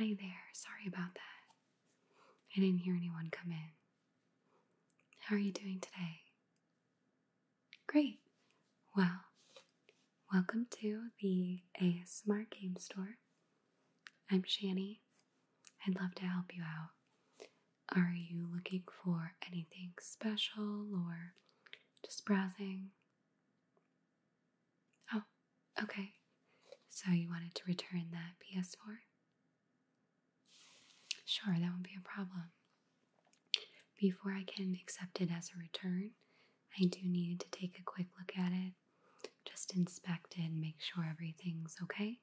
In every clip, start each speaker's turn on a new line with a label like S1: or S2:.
S1: Oh, hi there. Sorry about that. I didn't hear anyone come in. How are you doing today? Great. Well, welcome to the ASMR Game Store. I'm Shani. I'd love to help you out. Are you looking for anything special or just browsing? Oh, okay. So you wanted to return that PS4? Sure, that won't be a problem. Before I can accept it as a return, I do need to take a quick look at it, just inspect it and make sure everything's okay.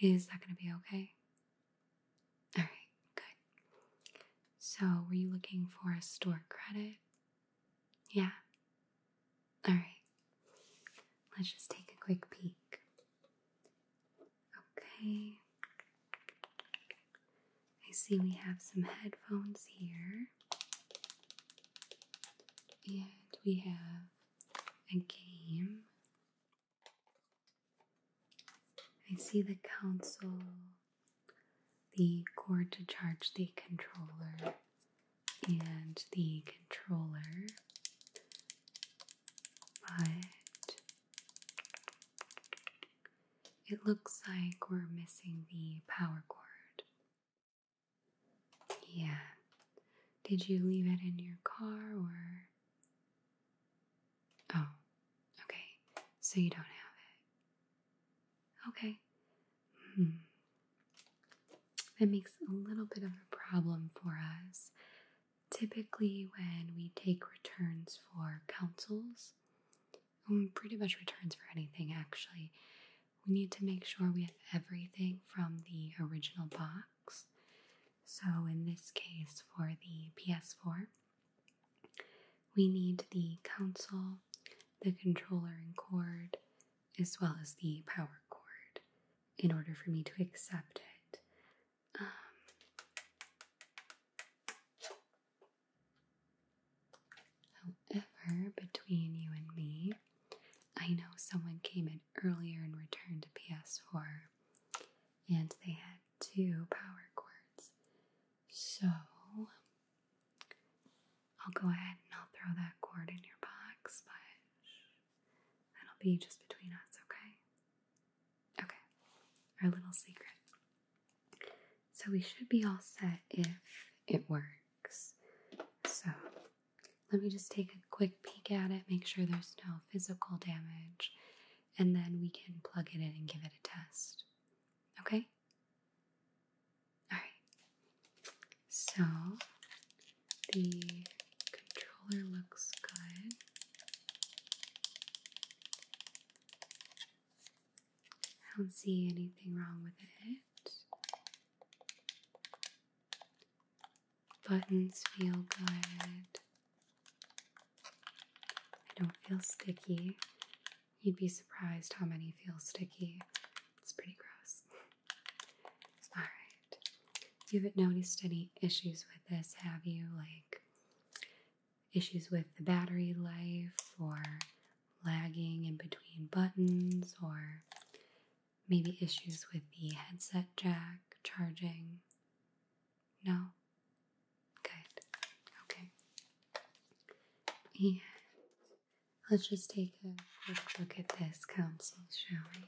S1: Is that going to be okay? All right, good. So, were you looking for a store credit? Yeah. All right. Let's just take a quick peek. Okay. I see we have some headphones here, and we have a game. I see the console, the cord to charge the controller, and the controller. But it looks like we're missing the power cord. Yeah. Did you leave it in your car or? Oh, okay. So you don't have it. Okay. Hmm. That makes a little bit of a problem for us. Typically, when we take returns for councils, pretty much returns for anything actually. We need to make sure we have everything from the original box. So, in this case, for the PS4, we need the console, the controller and cord, as well as the power cord in order for me to accept it. Um, However, between you and me, I know someone came in earlier and returned a PS4, and they had two power cords. So, I'll go ahead and I'll throw that cord in your box, but it will be just between us, okay? Okay, our little secret. So we should be all set if it works. So let me just take a quick peek at it, make sure there's no physical damage, and then we can plug it in and give it a test. Okay? Alright. So the controller looks good. I don't see anything wrong with it. Buttons feel good. I don't feel sticky. You'd be surprised how many feel sticky. It's pretty gross. Alright. You haven't noticed any issues with this, have you? Like issues with the battery life or lagging in between buttons or maybe issues with the headset jack charging? No? Good. Okay. And let's just take a look at this console, shall we?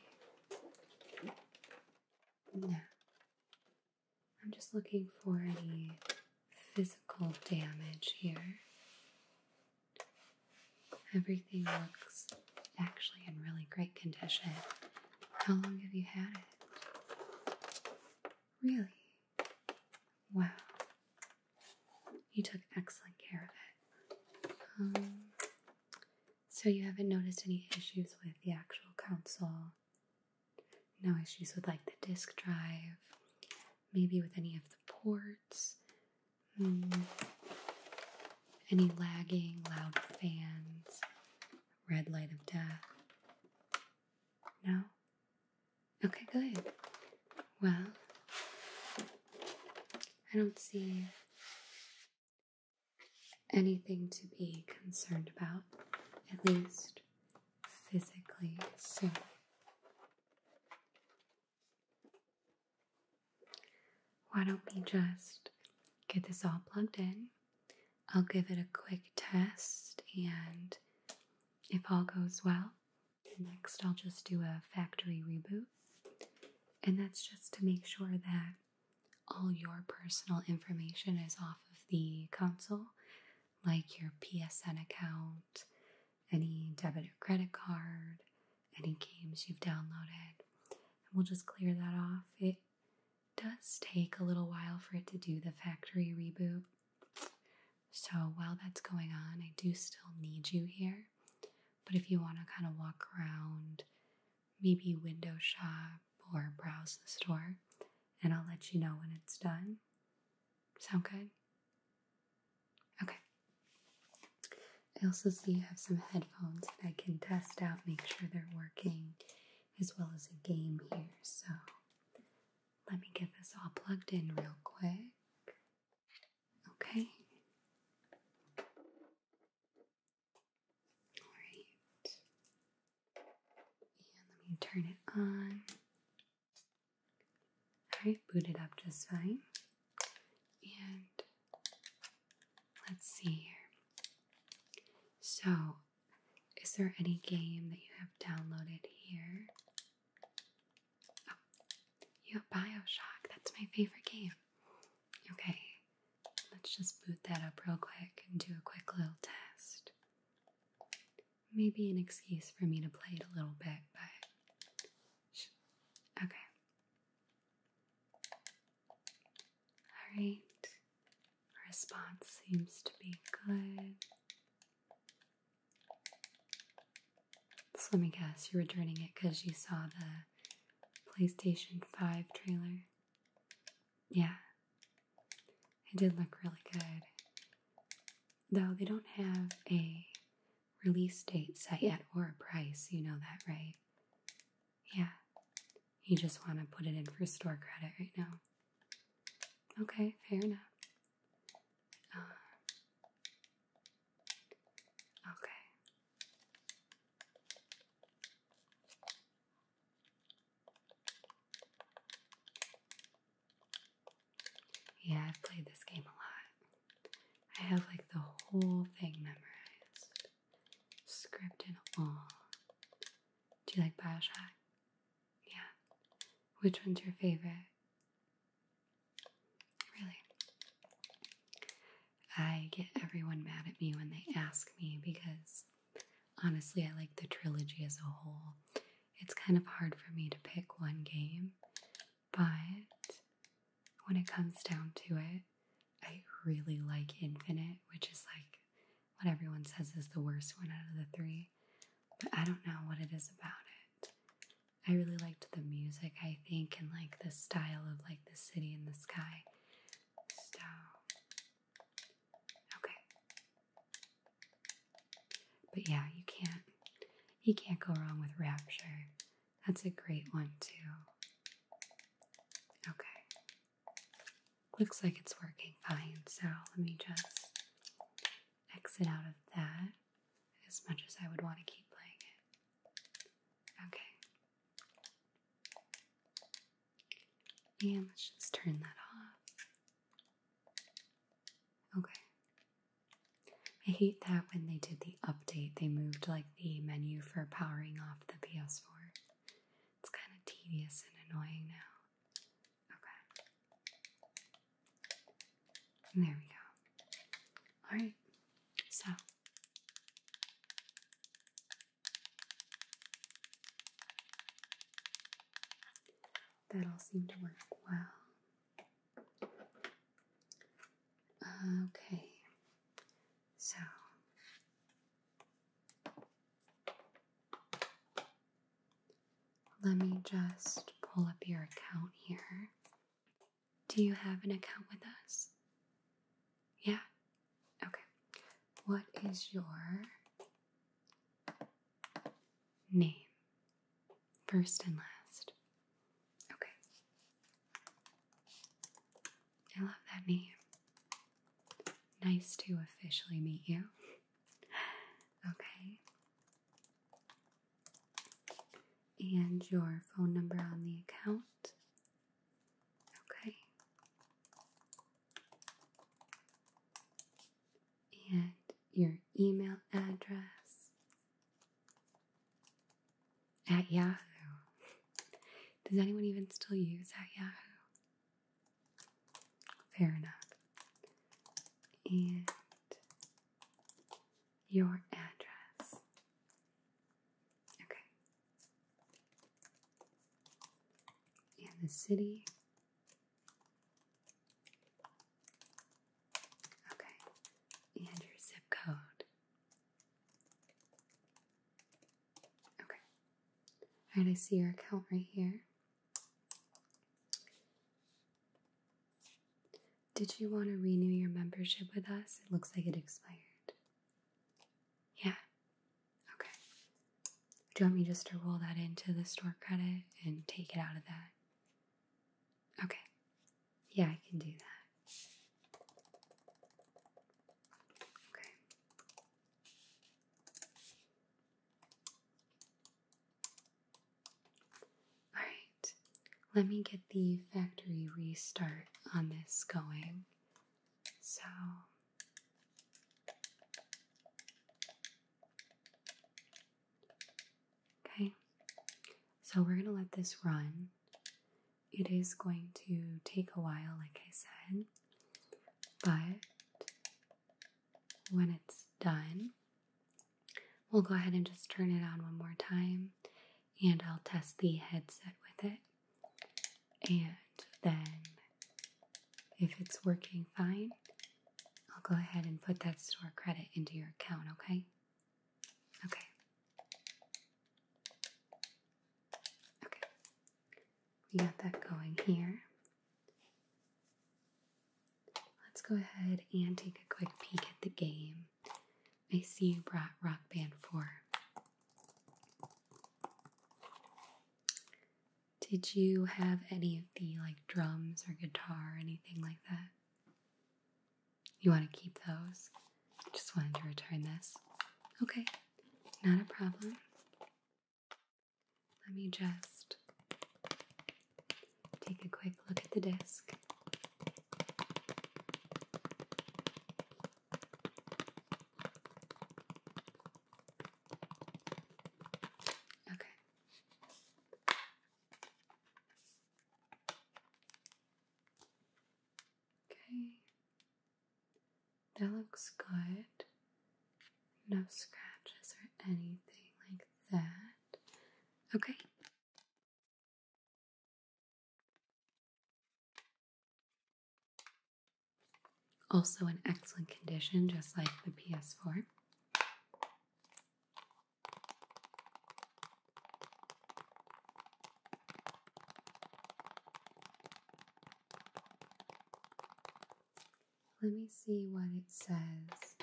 S1: Now, I'm just looking for any physical damage here. Everything looks actually in really great condition. How long have you had it? Really? Wow. You took excellent care of it. Um, so you haven't noticed any issues with the actual console no issues with like the disk drive, maybe with any of the ports, hmm. any lagging, loud fans, red light of death. No? Okay, good. Well, I don't see anything to be concerned about, at least physically so Why don't we just get this all plugged in? I'll give it a quick test, and if all goes well, next I'll just do a factory reboot. And that's just to make sure that all your personal information is off of the console like your PSN account, any debit or credit card, any games you've downloaded. And we'll just clear that off. It does take a little while for it to do the factory reboot. So while that's going on, I do still need you here. But if you want to kind of walk around, maybe window shop or browse the store, and I'll let you know when it's done. Sound good? Okay. I also see you have some headphones that I can test out, make sure they're working, as well as a game here. So let me get this all plugged in real quick. Okay. All right let me turn it on. Alright, booted up just fine. And let's see here. So, is there any game that you have downloaded here? Oh, you have Bioshock. That's my favorite game. Okay, let's just boot that up real quick and do a quick little test maybe an excuse for me to play it a little bit, but okay. All right, response seems to be good. So let me guess, you were turning it because you saw the PlayStation 5 trailer? Yeah. It did look really good. Though they don't have a release date set yet or a price, you know that, right? Yeah. You just want to put it in for store credit right now. Okay, fair enough. Uh, okay. Yeah, I've played this game a lot. I have like the whole thing memorized, script and all. Do you like Bioshock? Yeah. Which one's your favorite? Really? I get everyone mad at me when they ask me because Honestly, I like the trilogy as a whole. It's kind of hard for me to pick one game, but when it comes down to it, I really like Infinite, which is like what everyone says is the worst one out of the three. But I don't know what it is about it. I really liked the music, I think, and like the style of like the city in the sky. So, okay, but yeah, you can't you can't go wrong with Rapture. That's a great one too. Okay. Looks like it's working fine, so let me just exit out of that as much as I would want to keep playing it. Okay. And let's just turn that off. Okay. I hate that when they did the update, they moved like the menu for powering off the PS4. It's kind of tedious and annoying now. Okay. There we go. Alright, so that all seem to work well. Okay, so let me just pull up your account here. Do you have an account with us? Yeah? Okay. What is your Name, first and last. Okay. I love that name. Nice to officially meet you. Okay. And your phone number on the account. Okay and your email address at Yahoo. Does anyone even still use at Yahoo? Fair enough. And your address. Okay. And the city Okay, and your zip code. Okay. Alright, I see your account right here. Did you want to renew your membership with us? It looks like it expired. Yeah. Okay. Do you want me just to roll that into the store credit and take it out of that? Okay. Yeah, I can do that. Okay. All right. Let me get the factory restart on this going. So Okay, so we're going to let this run. It is going to take a while, like I said, but when it's done, we'll go ahead and just turn it on one more time and I'll test the headset with it. And then, if it's working fine, I'll go ahead and put that store credit into your account, okay? Okay. Okay. We got that going here. Let's go ahead and take a quick peek at the game. I see you brought Rock Band 4. Did you have any of the like drums or guitar or anything like that? You want to keep those? Just wanted to return this. Okay, not a problem. Let me just take a quick look at the desk. Okay, Okay, that looks good. No scratches or anything like that. Okay. Also in excellent condition, just like the PS4. Let me see what it says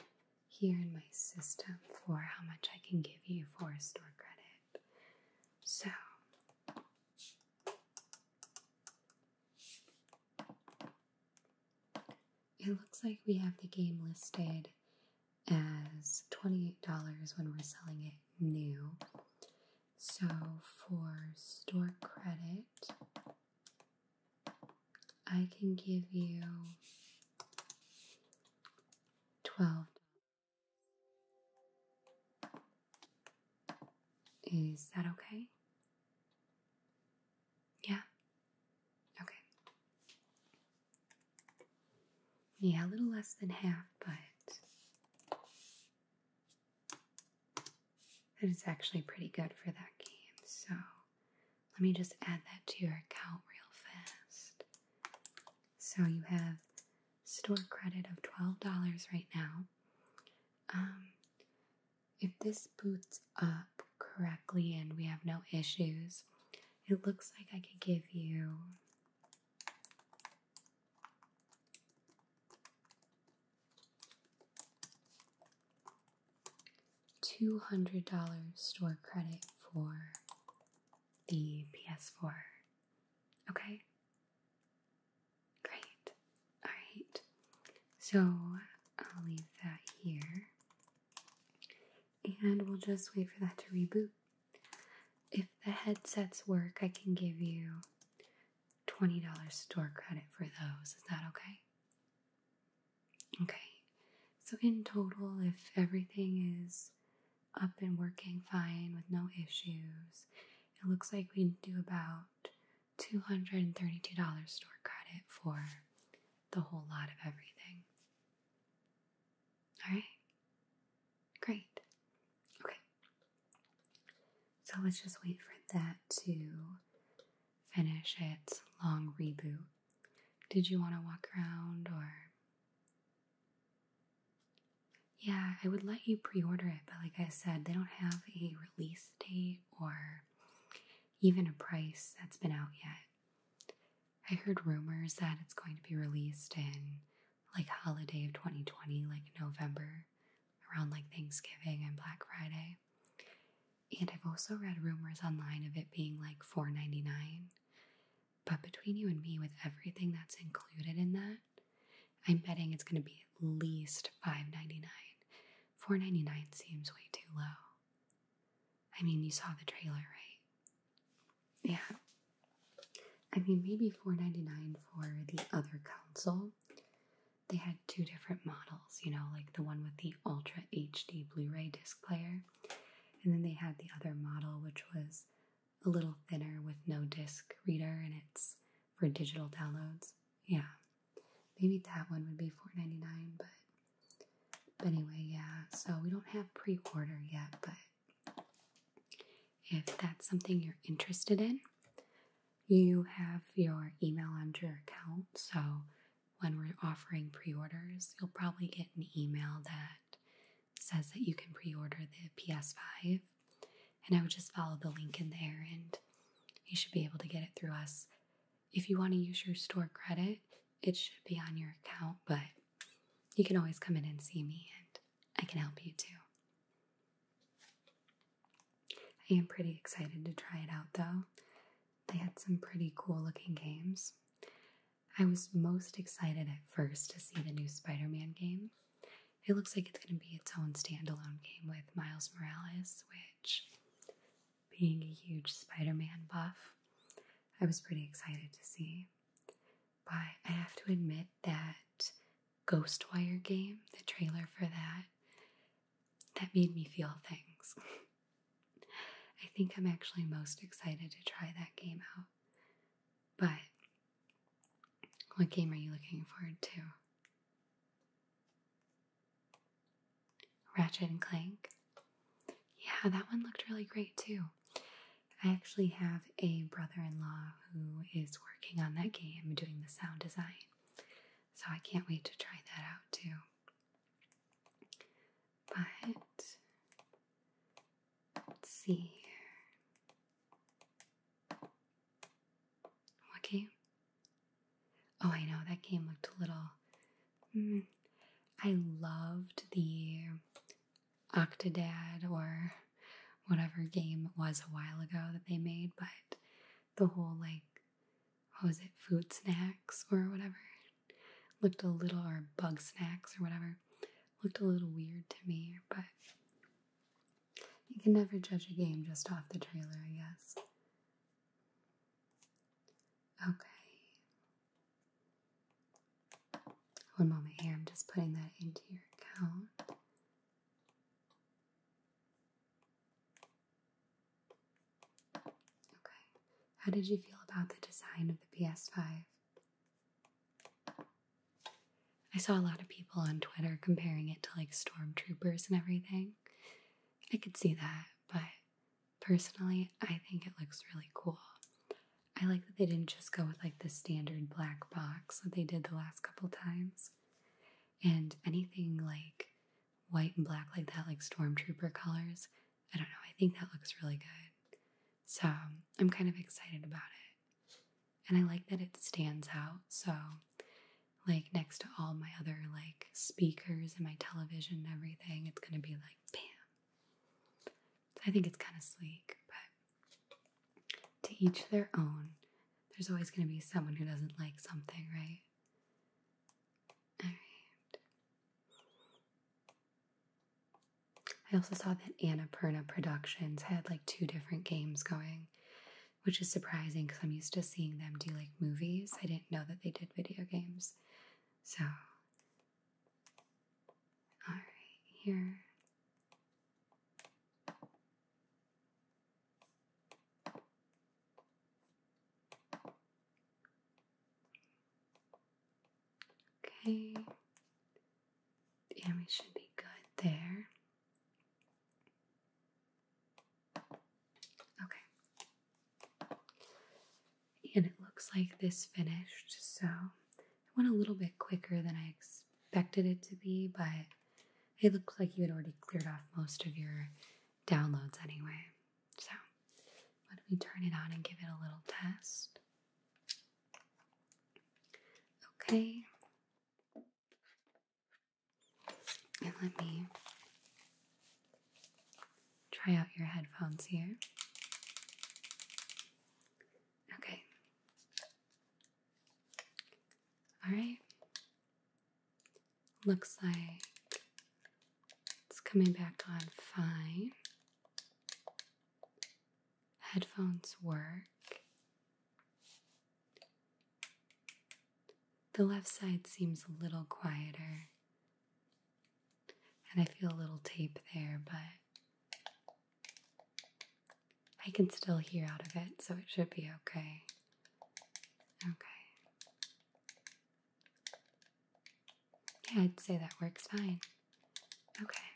S1: here in my system for how much I can give you for store credit. So, it looks like we have the game listed as $28 when we're selling it new. So for store credit, I can give you 12 Is that okay? Yeah, Okay. Yeah, a little less than half, but that is actually pretty good for that game. So let me just add that to your account real fast. So you have store credit of $12 right now. Um, if this boots up correctly and we have no issues, it looks like I could give you $200 store credit for the PS4. Okay? Great. Alright. So I'll leave that here. And we'll just wait for that to reboot. If the headsets work, I can give you $20 store credit for those. Is that okay? Okay. So, in total, if everything is up and working fine with no issues, it looks like we do about $232 store credit for the whole lot of everything. All right? Great. Okay. So let's just wait for that to finish its long reboot. Did you want to walk around or? Yeah, I would let you pre order it, but like I said, they don't have a release date or even a price that's been out yet. I heard rumors that it's going to be released in like holiday of 2020, like November, around like Thanksgiving and Black Friday. And I've also read rumors online of it being like four ninety nine. But between you and me, with everything that's included in that, I'm betting it's going to be at least five ninety nine. Four ninety nine seems way too low. I mean, you saw the trailer, right? Yeah. I mean, maybe four ninety nine for the other console. They had two different models, you know, like the one with the Ultra HD Blu ray disc player, and then they had the other model, which was a little thinner with no disc reader, and it's for digital downloads. Yeah. Maybe that one would be $4.99, but, but anyway, yeah. So we don't have pre-order yet, but if that's something you're interested in, you have your email under your account. So when we're offering pre-orders, you'll probably get an email that says that you can pre-order the PS5. And I would just follow the link in there and you should be able to get it through us. If you want to use your store credit, it should be on your account, but you can always come in and see me and I can help you too. I am pretty excited to try it out though. They had some pretty cool looking games. I was most excited at first to see the new Spider Man game. It looks like it's going to be its own standalone game with Miles Morales, which being a huge Spider Man buff, I was pretty excited to see. But I have to admit that Ghostwire game, the trailer for that, that made me feel things. I think I'm actually most excited to try that game out. But what game are you looking forward to? Ratchet and Clank. Yeah, that one looked really great too. I actually have a brother in law who is working on that game doing the sound design. So I can't wait to try that out too. But let's see here. What Oh, I know that game looked a little. Mm, I loved the Octodad or whatever game it was a while ago that they made, but the whole like, was it, food snacks or whatever looked a little, or bug snacks or whatever looked a little weird to me, but you can never judge a game just off the trailer, I guess. Okay. One moment here, I'm just putting that into your account. Okay. How did you feel about the design of the PS5? I saw a lot of people on Twitter comparing it to like stormtroopers and everything. I could see that, but Personally, I think it looks really cool. I like that they didn't just go with like the standard black box that they did the last couple times. And anything like white and black like that, like stormtrooper colors, I don't know, I think that looks really good. So I'm kind of excited about it. And I like that it stands out. So, like, next to all my other like speakers and my television and everything, it's gonna be like bam. I think it's kind of sleek, but to each their own. There's always gonna be someone who doesn't like something, right? All right. I also saw that Annapurna Productions had like two different games going, which is surprising because I'm used to seeing them do like movies. I didn't know that they did video games. So, all right, here. Okay. Yeah, we should be good there. Okay. And it looks like this finished, so it went a little bit quicker than I expected it to be, but it looks like you had already cleared off most of your downloads anyway. So, let me turn it on and give it a little test? Okay. And let me Try out your headphones here. Okay. All right. Looks like it's coming back on fine. Headphones work. The left side seems a little quieter and I feel a little tape there, but I can still hear out of it, so it should be okay. Okay. Yeah, I'd say that works fine. Okay.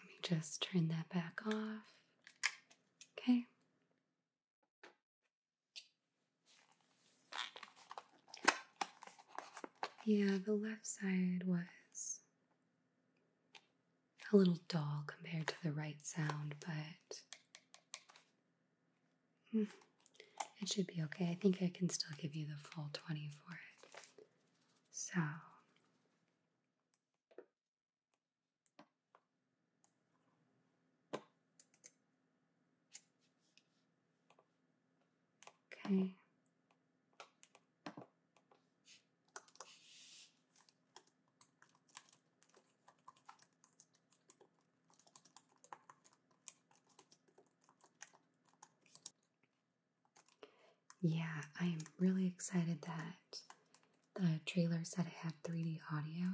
S1: Let me just turn that back off. Okay. Yeah, the left side was a little dull compared to the right sound, but mm, it should be okay. I think I can still give you the full 20 for it. So Okay. Yeah, I am really excited that the trailer said it had 3D audio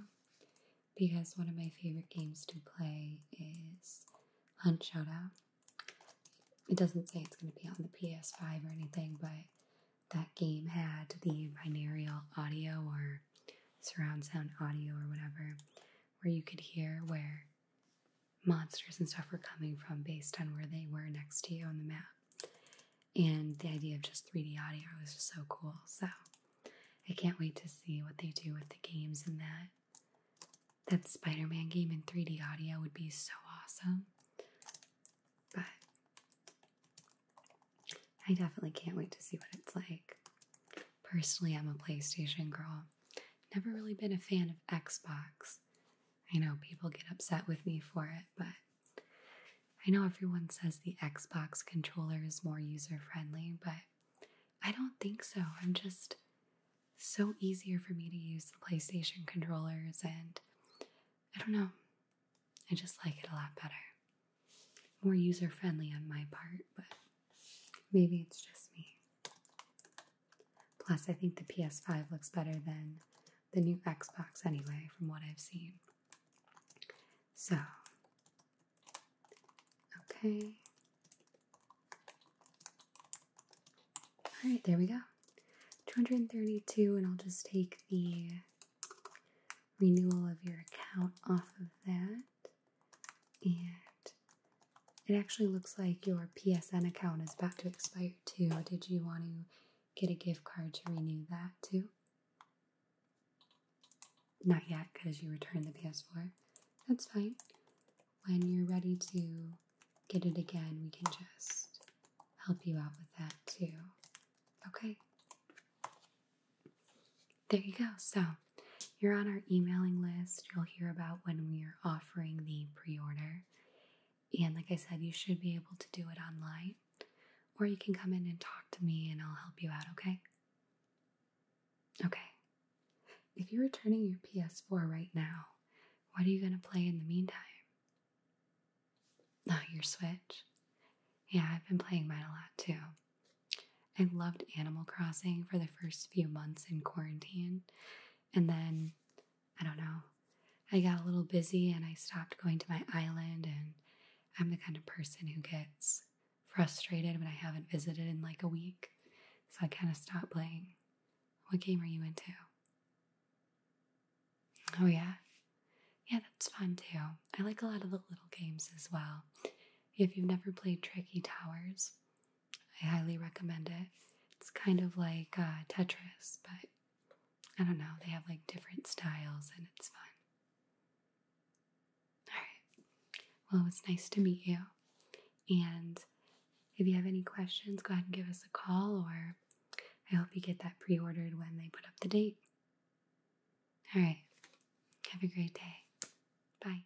S1: because one of my favorite games to play is Hunt Showdown. It doesn't say it's going to be on the PS5 or anything, but that game had the binaural audio or surround sound audio or whatever, where you could hear where monsters and stuff were coming from based on where they were next to you on the map. And the idea of just 3D audio was just so cool. So I can't wait to see what they do with the games and that. That Spider Man game in 3D audio would be so awesome. But I definitely can't wait to see what it's like. Personally, I'm a PlayStation girl. Never really been a fan of Xbox. I know people get upset with me for it, but I know everyone says the Xbox controller is more user friendly, but I don't think so. I'm just so easier for me to use the PlayStation controllers, and I don't know, I just like it a lot better. More user friendly on my part, but maybe it's just me. Plus, I think the PS5 looks better than the new Xbox anyway, from what I've seen. So, okay. All right, there we go. 232, and I'll just take the renewal of your account off of that. And it actually looks like your PSN account is about to expire too. Did you want to get a gift card to renew that too? Not yet, because you returned the PS4. That's fine. When you're ready to get it again, we can just help you out with that too. Okay. There you go. So you're on our emailing list. You'll hear about when we are offering the pre order. And like I said, you should be able to do it online. Or you can come in and talk to me and I'll help you out, okay? Okay. If you're returning your PS4 right now, what are you going to play in the meantime? Not oh, your Switch. Yeah, I've been playing mine a lot too. I loved Animal Crossing for the first few months in quarantine. And then, I don't know, I got a little busy and I stopped going to my island and I'm the kind of person who gets frustrated when I haven't visited in like a week. So I kind of stop playing. What game are you into? Oh, yeah. Yeah, that's fun too. I like a lot of the little games as well. If you've never played Tricky Towers, I highly recommend it. It's kind of like uh, Tetris, but I don't know, they have like different styles and it's fun. All right. Well, it was nice to meet you. And if you have any questions, go ahead and give us a call, or I hope you get that pre ordered when they put up the date. All right. Have a great day. Bye.